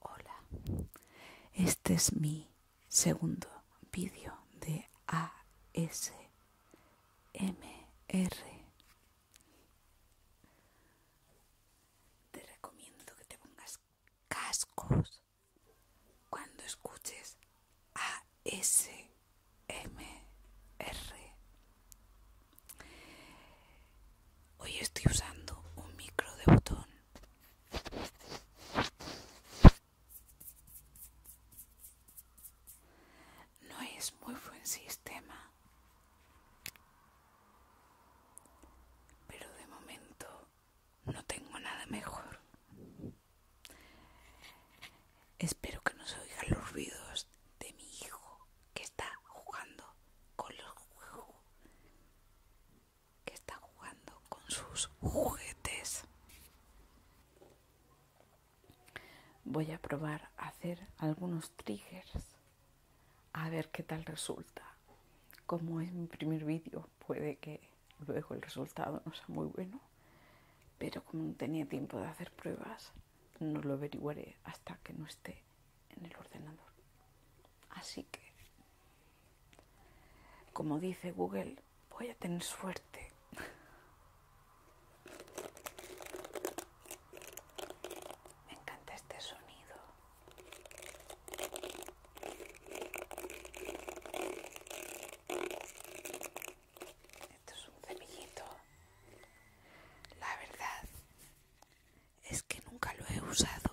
Hola, este es mi segundo vídeo de ASMR. Te recomiendo que te pongas cascos cuando escuches ASMR. Hoy estoy usando un micro de botón. No es muy buen sistema, pero de momento no tengo nada mejor. Espero que no se oigan los ruidos de mi hijo que está jugando con los juegos. Que está jugando con sus juguetes. Voy a probar a hacer algunos triggers a ver qué tal resulta. Como es mi primer vídeo, puede que luego el resultado no sea muy bueno, pero como no tenía tiempo de hacer pruebas, no lo averiguaré hasta que no esté en el ordenador. Así que, como dice Google, voy a tener suerte. Me encanta este sonido. Esto es un semillito. La verdad es que nunca lo he usado.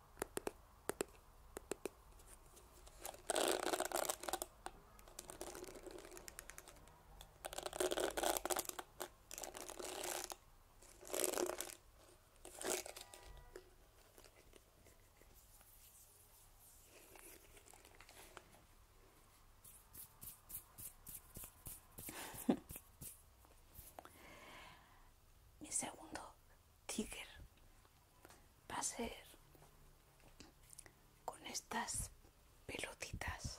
Mi segundo Tiger va a ser con estas pelotitas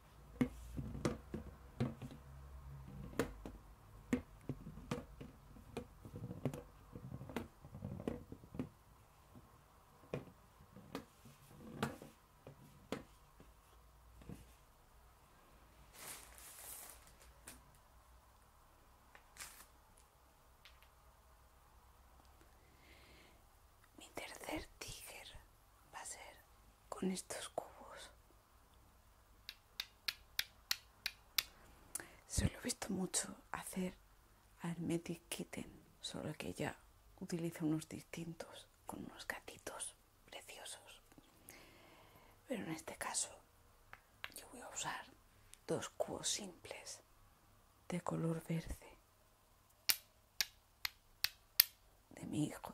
Mi tercer tíger va a ser con estos cubos. Se lo he visto mucho hacer al Kitten, solo que ella utiliza unos distintos con unos gatitos preciosos. Pero en este caso yo voy a usar dos cubos simples de color verde de mi hijo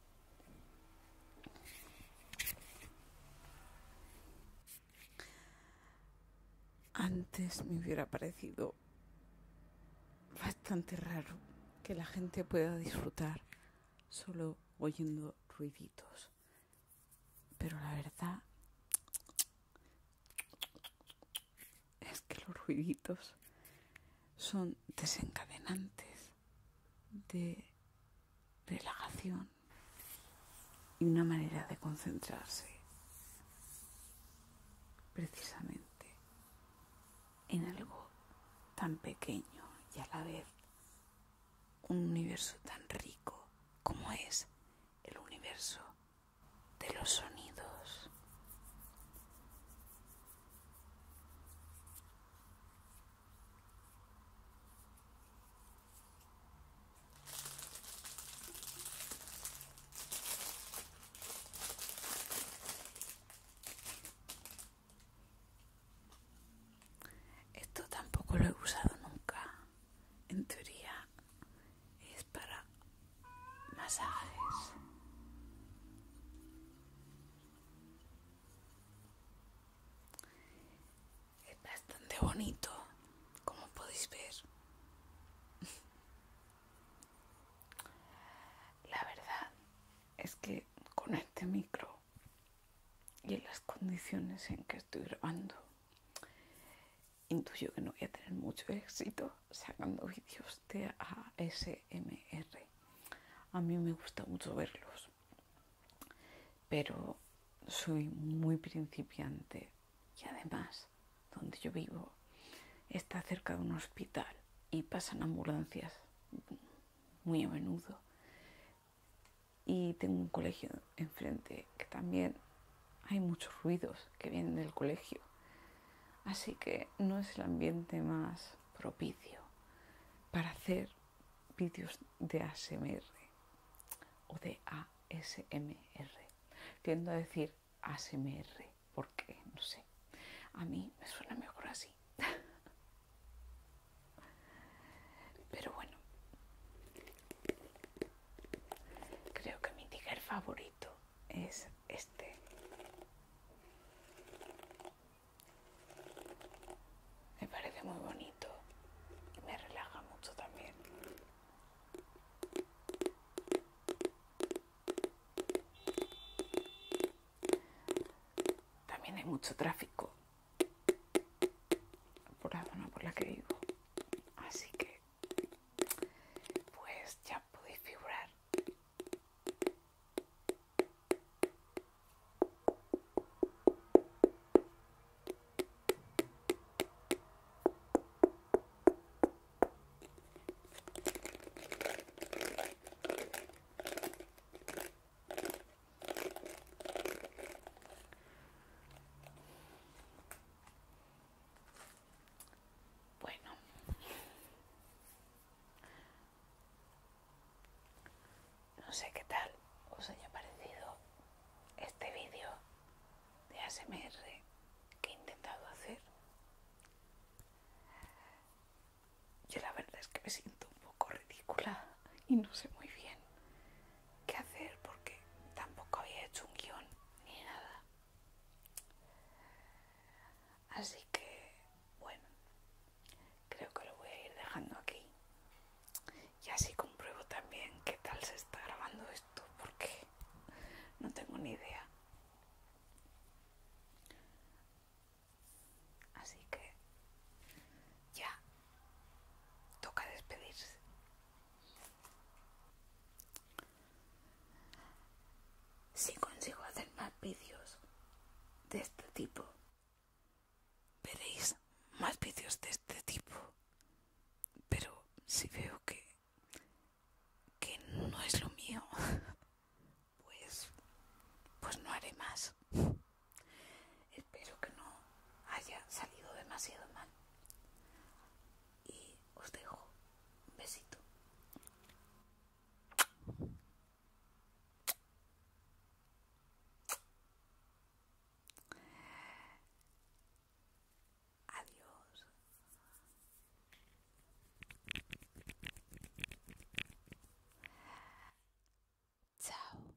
Antes me hubiera parecido bastante raro que la gente pueda disfrutar solo oyendo ruiditos. Pero la verdad es que los ruiditos son desencadenantes de relajación y una manera de concentrarse precisamente en algo tan pequeño y a la vez un universo tan rico como es el universo de los sonidos. Esto tampoco lo he usado nunca. En teoría es para masajes. Es bastante bonito, como podéis ver. La verdad es que con este micro y en las condiciones en que estoy grabando, intuyo que no voy a tener mucho éxito sacando vídeos a A mí me gusta mucho verlos, pero soy muy principiante y además, donde yo vivo, está cerca de un hospital y pasan ambulancias muy a menudo. Y tengo un colegio enfrente que también hay muchos ruidos que vienen del colegio Así que no es el ambiente más propicio para hacer vídeos de ASMR o de ASMR. Tiendo a decir ASMR porque, no sé, a mí me suena mejor así. Pero bueno, creo que mi tiger favorito es este. Me parece muy bonito y me relaja mucho también. También hay mucho tráfico por la zona por la que vivo, así que pues ya pude figurar bueno. No sé qué tal os haya parecido este vídeo de ASMR que he intentado hacer. Yo la verdad es que me siento un poco ridícula y no sé muy bien qué hacer porque tampoco había hecho un guión ni nada. Así que, bueno, creo que lo voy a ir dejando aquí. Y así compruebo también qué tal se está grabando esto, porque no tengo ni idea. Así que ya toca despedirse si consigo hacer más vídeos de este tipo veréis más vídeos de este tipo pero si veo que que no es lo mío pues pues no haré más espero que no haya salido demasiado mal y os dejo un besito. Adiós. Chao.